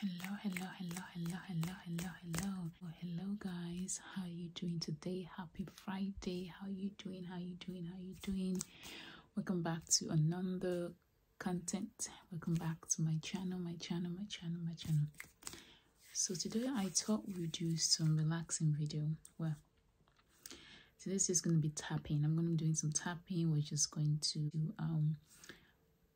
hello hello hello hello hello hello hello well, hello guys how are you doing today happy friday how are you doing how are you doing how are you doing welcome back to another content welcome back to my channel my channel my channel my channel so today i thought we'll do some relaxing video well today's just going to be tapping i'm going to be doing some tapping we're just going to um,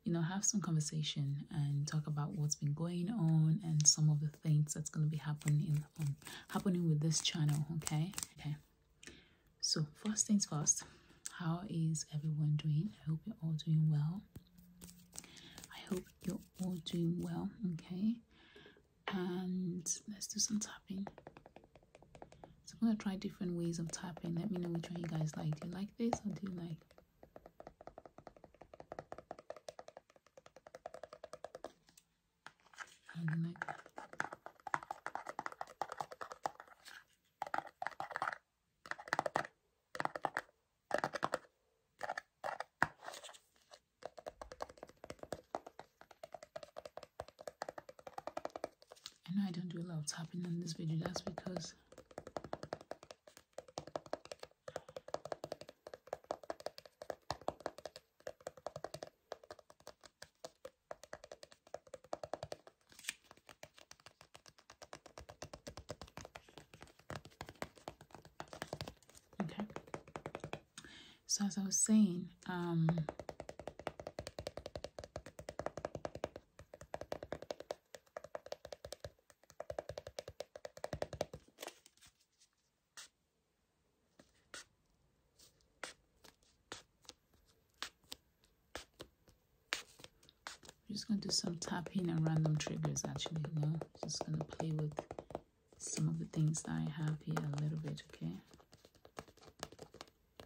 you know have some conversation and talk about what's been going on and some of the things that's going to be happening um, happening with this channel okay okay so first things first how is everyone doing i hope you're all doing well i hope you're all doing well okay and let's do some tapping so I'm gonna try different ways of tapping. Let me know which one you guys like. Do you like this or do you like like I know I don't do a lot of tapping in this video, that's because Okay, so as I was saying, um, I'm just going to do some tapping and random triggers actually, no. just going to play with some of the things that I have here a little bit, okay?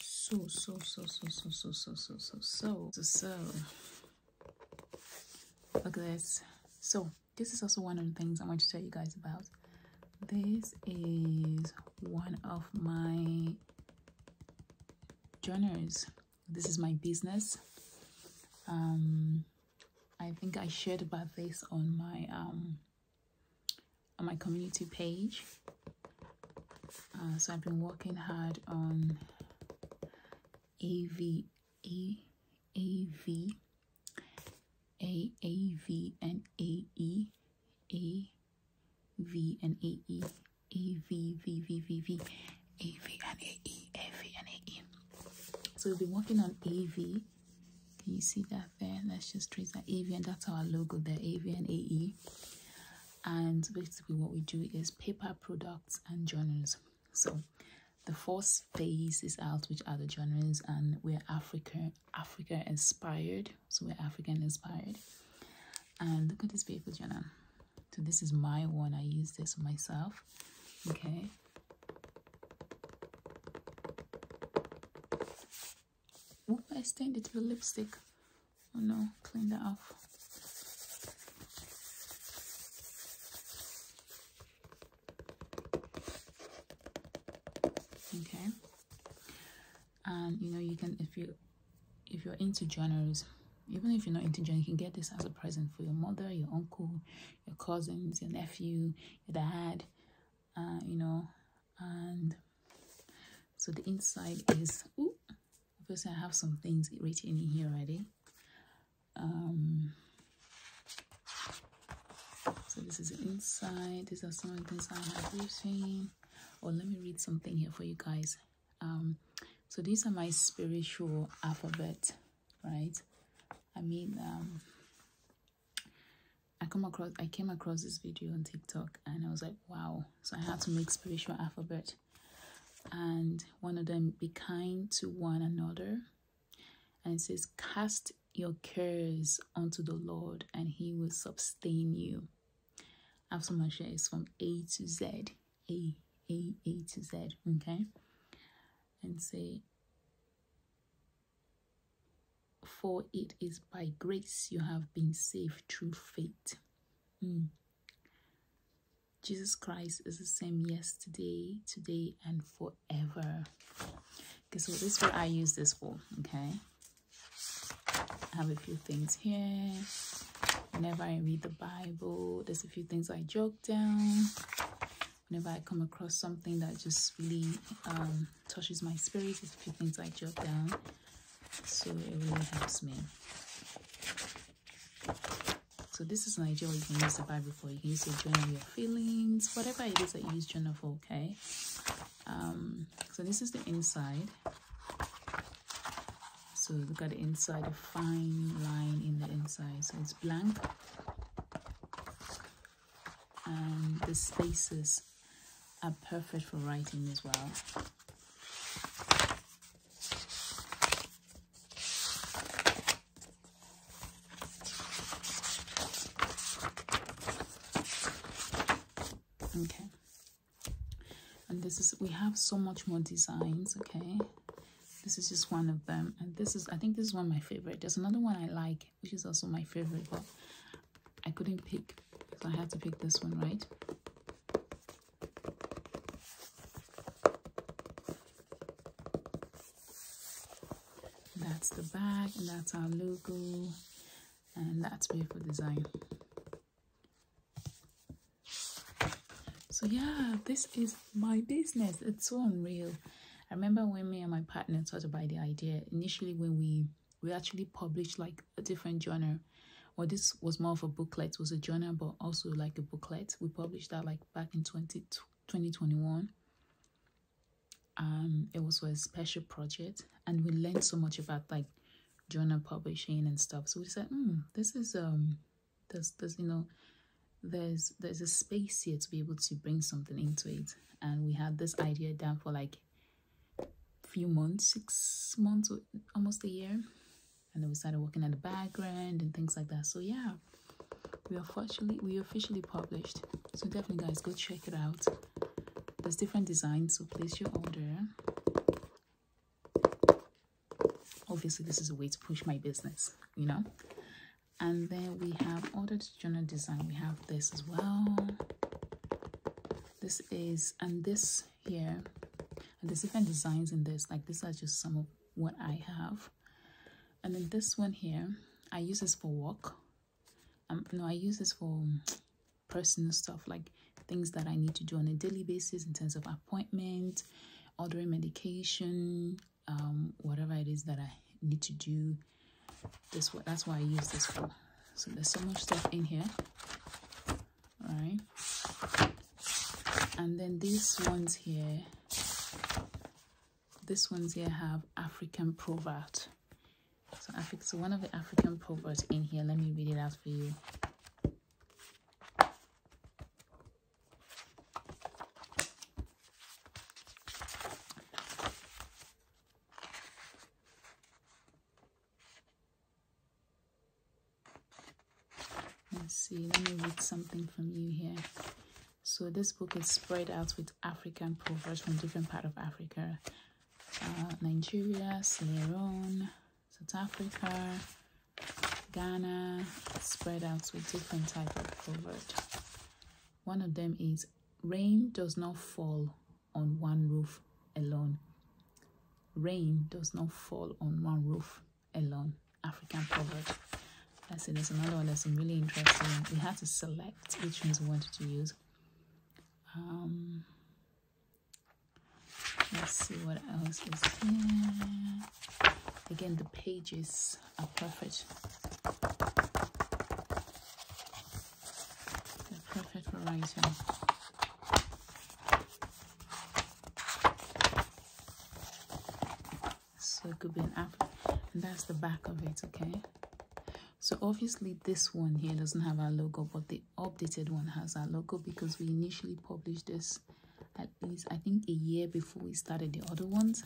so so so so so so so so so so so so look at this so this is also one of the things i want to tell you guys about this is one of my journals this is my business um i think i shared about this on my um on my community page uh, so I've been working hard on AV, A, AV, A, AV and AE, A, V and AE, AV, V, V, V, V, AV and AE, AV and AE. So we've been working on AV. Can you see that there? That's just trace that AV and that's our logo there, AV and AE and basically what we do is paper products and journals so the first phase is out which are the journals and we're africa africa inspired so we're african inspired and look at this paper journal so this is my one i use this myself okay Oop, I stained it with lipstick. Oh no, clean that off. Okay. And you know you can if you if you're into journals, even if you're not into journals, you can get this as a present for your mother, your uncle, your cousins, your nephew, your dad, uh, you know, and so the inside is Obviously, I have some things written in here already. Um, so this is inside. These are some of the things I have written. Or oh, let me read something here for you guys. Um, so these are my spiritual alphabet, right? I mean, um, I come across I came across this video on TikTok and I was like, wow. So I have to make spiritual alphabet and one of them be kind to one another and it says cast your cares onto the lord and he will sustain you I have so much from a to z a a a to z okay and say for it is by grace you have been saved through faith hmm. Jesus Christ is the same yesterday, today, and forever. Okay, so this is what I use this for, okay? I have a few things here. Whenever I read the Bible, there's a few things I jot down. Whenever I come across something that just really um, touches my spirit, there's a few things I jot down so it really helps me so this is an idea you can use the bible for you can use it journal your feelings whatever it is that you use journal for okay um, so this is the inside so look at the inside a fine line in the inside so it's blank and the spaces are perfect for writing as well. Okay. And this is, we have so much more designs, okay? This is just one of them. And this is, I think this is one of my favorite. There's another one I like, which is also my favorite, but I couldn't pick, so I had to pick this one, right? That's the bag, that's our logo, and that's beautiful design. So yeah, this is my business. It's so unreal. I remember when me and my partner thought about the idea initially when we we actually published like a different genre well this was more of a booklet it was a journal but also like a booklet we published that like back in 20, 2021 um it was a special project and we learned so much about like journal publishing and stuff so we said mm, this is um there's there's you know there's there's a space here to be able to bring something into it and we had this idea down for like few months, six months, almost a year. And then we started working on the background and things like that. So yeah, we officially we officially published. So definitely guys go check it out. There's different designs, so please your order. Obviously, this is a way to push my business, you know. And then we have ordered journal design. We have this as well. This is and this here and there's different designs in this like these are just some of what i have and then this one here i use this for work um no i use this for um, personal stuff like things that i need to do on a daily basis in terms of appointment ordering medication um whatever it is that i need to do this that's why i use this for so there's so much stuff in here, All right? And then these ones here, these ones here have African proverb. So, Afri so one of the African proverbs in here, let me read it out for you. Let's see, let me read something from you here. So this book is spread out with African proverbs from different part of Africa. Uh, Nigeria, Sierra Leone, South Africa, Ghana, spread out with different type of proverb. One of them is, rain does not fall on one roof alone. Rain does not fall on one roof alone. African proverb. Let's there's another one that's really interesting. We have to select which ones we wanted to use. Um, let's see what else is here. Again, the pages are perfect. The perfect writing. So it could be an apple. And that's the back of it, okay? So obviously this one here doesn't have our logo, but the updated one has our logo because we initially published this at least, I think, a year before we started the other ones.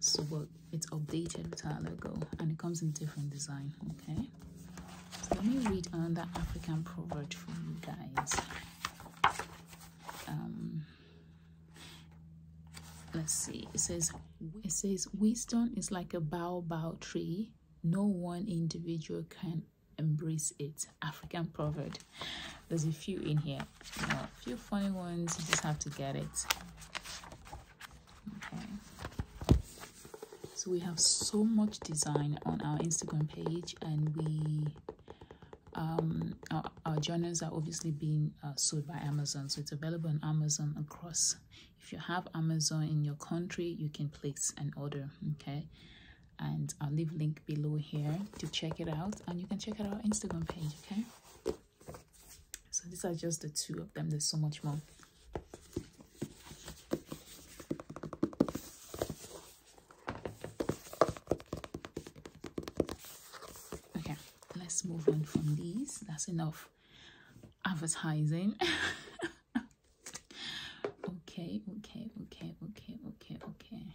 So but it's updated with our logo and it comes in different design, okay? let me read another african proverb for you guys um, let's see it says it says wisdom is like a baobab tree no one individual can embrace it african proverb there's a few in here few funny ones you just have to get it okay so we have so much design on our instagram page and we um, our, journals are obviously being uh, sold by Amazon, so it's available on Amazon across. If you have Amazon in your country, you can place an order, okay? And I'll leave link below here to check it out, and you can check out our Instagram page, okay? So these are just the two of them. There's so much more. Okay, let's move on from these. That's enough advertising. okay, okay, okay, okay, okay, okay.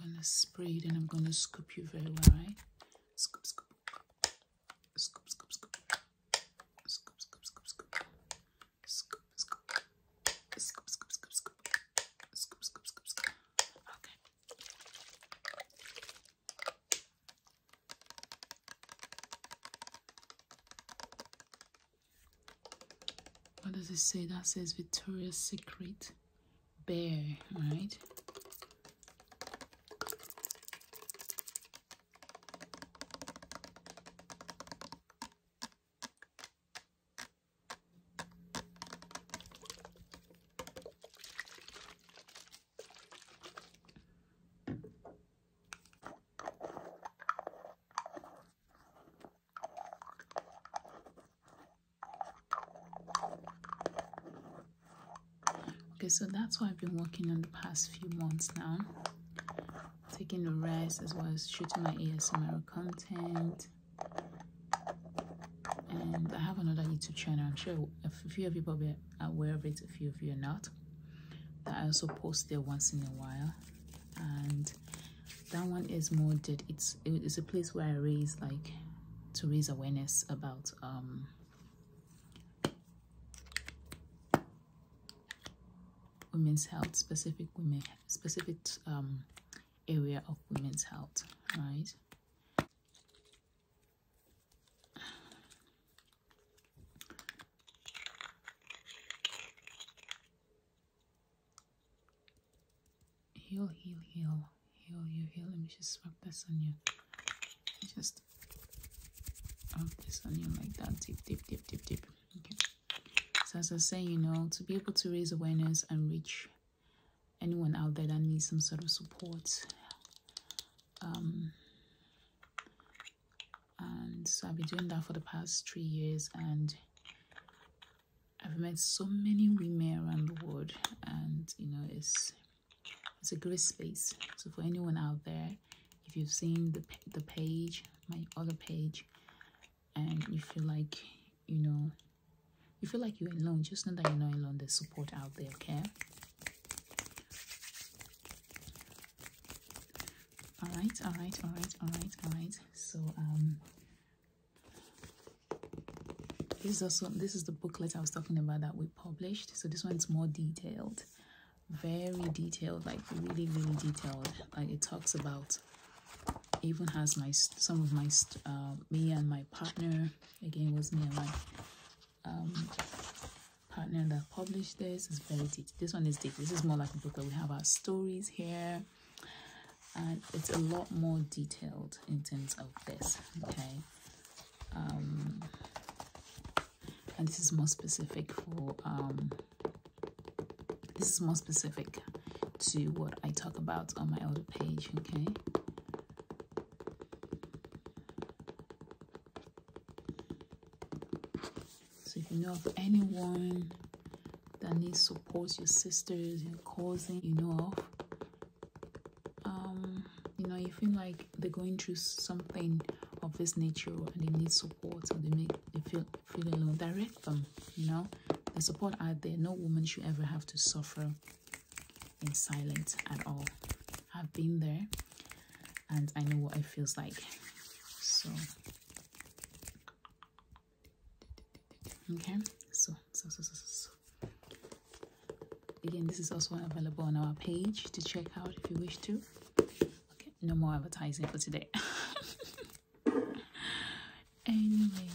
I'm gonna spray it and I'm gonna scoop you very well, right? Scoop, scoop, scoop, scoop, scoop, scoop, scoop, scoop, scoop, scoop, scoop, scoop, scoop, scoop, scoop, scoop, scoop, scoop, scoop. Okay. What does it say? That says Victoria's Secret bear, right? Okay, so that's what I've been working on the past few months now. Taking a rest as well as shooting my ASMR content. And I have another YouTube channel. I'm sure a few of you probably are aware of it, a few of you are not. That I also post there once in a while. And that one is more did it's it's a place where i raise like to raise awareness about um, women's health specific women specific um, area of women's health right Heal, heal, heal. Heal you, heal. Let me just rub this on you. Just this on you like that. Deep, deep, deep, deep, deep. Okay. So as I say, you know, to be able to raise awareness and reach anyone out there that needs some sort of support. Um, and so I've been doing that for the past three years and I've met so many women around the world, and you know, it's it's a great space. So for anyone out there, if you've seen the the page, my other page, and you feel like you know, you feel like you're alone, just know that you're not alone. There's support out there, okay? All right, all right, all right, all right, all right. So um, this is also this is the booklet I was talking about that we published. So this one's more detailed, very detailed, like really really detailed. Like it talks about, even has my some of my uh, me and my partner. Again, was me and my um, partner that published this. is very detailed. This one is deep. This is more like a book booklet. We have our stories here and it's a lot more detailed in terms of this okay um, and this is more specific for um, this is more specific to what I talk about on my other page okay so if you know of anyone that needs support, your sisters, your cousins, you know of. Um, you know, you feel like they're going through something of this nature and they need support or they make they feel feel alone. Direct them, you know. The support out there. No woman should ever have to suffer in silence at all. I've been there and I know what it feels like. So okay so so so so, so. again this is also available on our page to check out if you wish to okay no more advertising for today anyway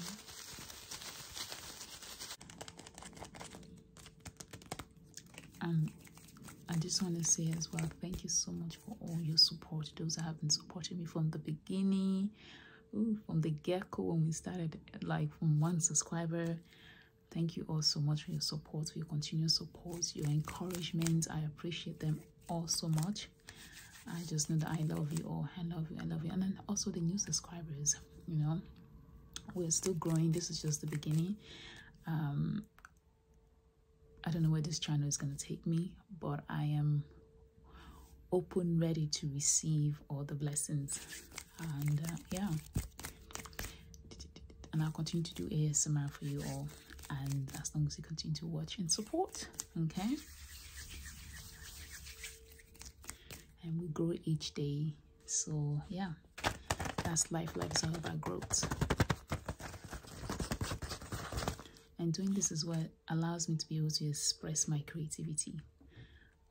um i just want to say as well thank you so much for all your support those that have been supporting me from the beginning from the get-go when we started like from one subscriber thank you all so much for your support for your continued support your encouragement i appreciate them all so much i just know that i love you all i love you i love you and then also the new subscribers you know we're still growing this is just the beginning um, i don't know where this channel is going to take me but i am open, ready to receive all the blessings. And uh, yeah, and I'll continue to do ASMR for you all. And as long as you continue to watch and support, okay? And we grow each day. So yeah, that's life. Life is all about growth. And doing this is where allows me to be able to express my creativity.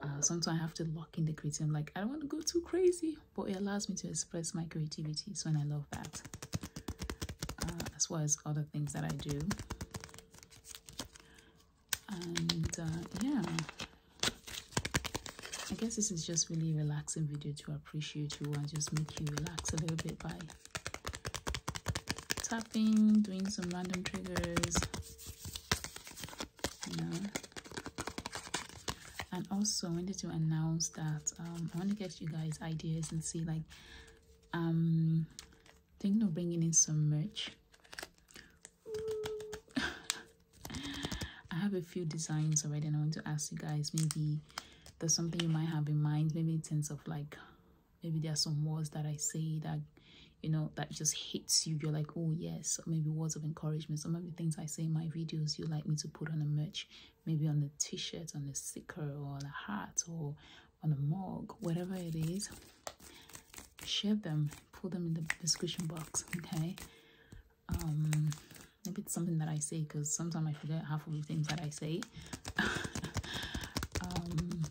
Uh, sometimes I have to lock in the creativity. I'm like, I don't want to go too crazy, but it allows me to express my creativity. So, and I love that. Uh, as well as other things that I do. And uh, yeah, I guess this is just really relaxing video to appreciate you and just make you relax a little bit by tapping, doing some random triggers, you And also, I wanted to announce that um, I want to get you guys ideas and see like um thinking of bringing in some merch. I have a few designs already, and I want to ask you guys maybe there's something you might have in mind, maybe in terms of like Maybe there are some words that I say that, you know, that just hits you. You're like, oh, yes. maybe words of encouragement. Some of the things I say in my videos, you like me to put on a merch, maybe on the t shirt, on the sticker, or on a hat, or on a mug, whatever it is. Share them, put them in the description box, okay? Um, maybe it's something that I say because sometimes I forget half of the things that I say. Um,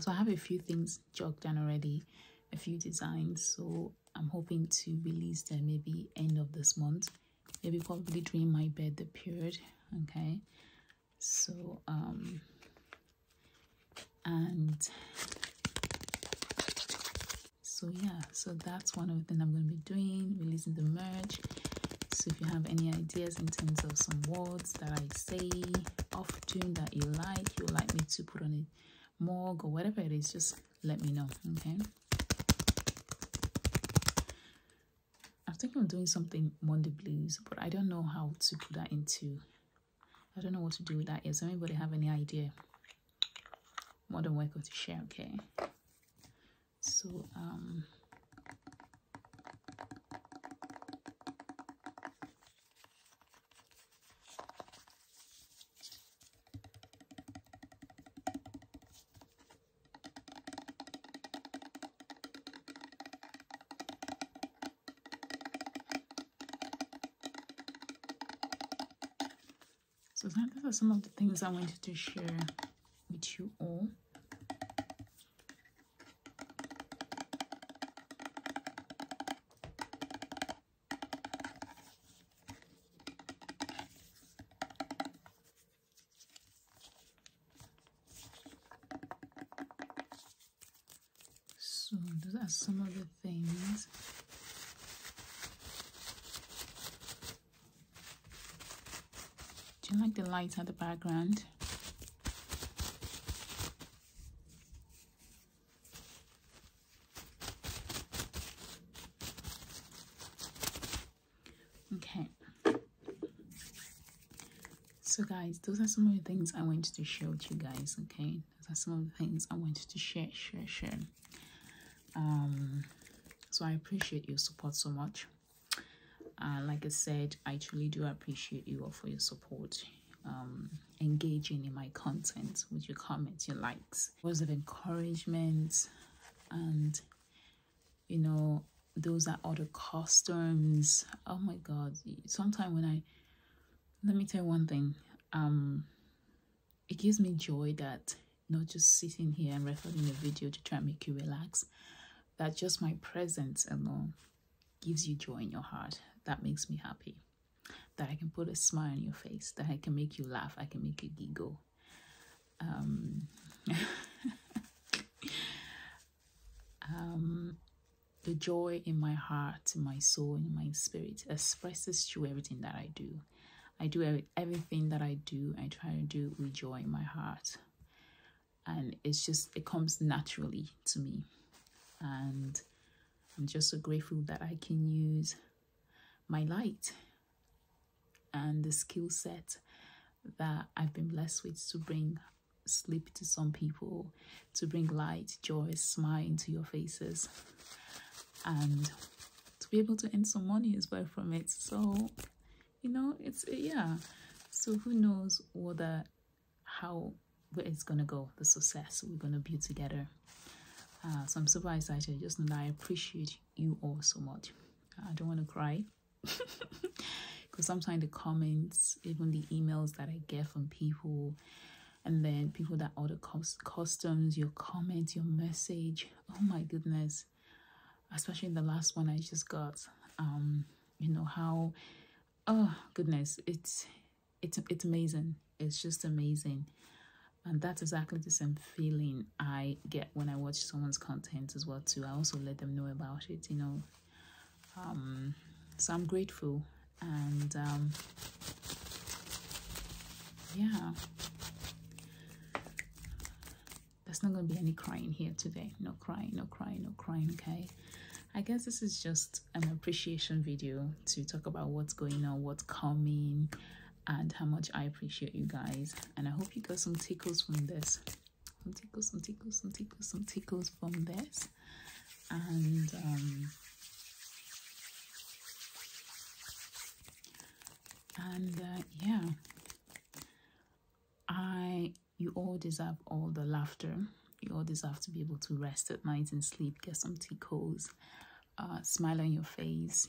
so I have a few things jotted down already, a few designs. So I'm hoping to release them maybe end of this month, maybe probably during my birthday period. Okay, so um, and so yeah, so that's one of the things I'm going to be doing, releasing the merch so if you have any ideas in terms of some words that i say often that you like you like me to put on it, mug or whatever it is just let me know okay i think I'm doing something monday blues but i don't know how to put that into i don't know what to do with that yet so anybody have any idea more than welcome to share okay so um so those are some of the things I wanted to share with you all. So those are some of the things do you like the light at the background? Okay. So guys, those are some of the things I wanted to share with you guys, okay? Those are some of the things I wanted to share, share, share. Um, so I appreciate your support so much. Uh, like I said, I truly do appreciate you all for your support, um, engaging in my content with your comments, your likes, words of encouragement, and you know, those are all the customs. Oh my god, sometimes when I let me tell you one thing, um, it gives me joy that not just sitting here and recording a video to try and make you relax, that just my presence alone gives you joy in your heart. That makes me happy. That I can put a smile on your face, that I can make you laugh, I can make you giggle. Um, um, the joy in my heart, my soul, in my spirit expresses through everything that I do. I do everything that I do, I try to do with joy in my heart and it's just it comes naturally to me and i'm just so grateful that i can use my light and the skill set that i've been blessed with to bring sleep to some people to bring light joy smile into your faces and to be able to earn some money as well from it so you know it's yeah so who knows what the how where it's gonna go the success we're gonna be together uh, so i'm super excited just know that i appreciate you all so much i don't want to cry because sometimes the comments even the emails that i get from people and then people that all order customs your comments your message oh my goodness especially the last one I just got um, you know how oh goodness it's it's it's amazing it's just amazing and that's exactly the same feeling I get when I watch someone's content as well too I also let them know about it you know um, so I'm grateful and um, yeah there's not going to be any crying here today no crying no crying no crying okay i guess this is just an appreciation video to talk about what's going on what's coming and how much i appreciate you guys and i hope you got some tickles from this some tickles some tickles some tickles some tickles from this and um and uh, yeah I you all deserve all the laughter. You all deserve to be able to rest at night and sleep, get some tea coals, uh, smile on your face.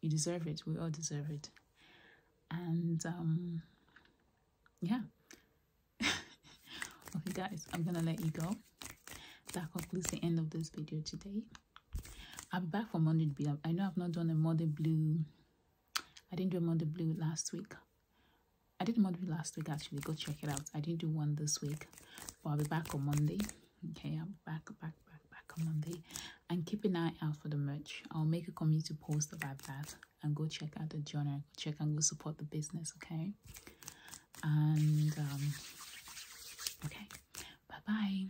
You deserve it. We all deserve it. And um, yeah. okay, guys, I'm gonna let you go. That concludes the end of this video today. I'll be back for Monday Blue. I know I've not done a Monday Blue I didn't do a Monday Blue last week. I did Monday Blue last week actually. Go check it out. I didn't do one this week, but I'll be back on Monday. Okay, I'm back, back, back, back on Monday. And keep an eye out for the merch. I'll make a community post about that and go check out the journal. Go check and go support the business, okay? And um, okay, bye bye.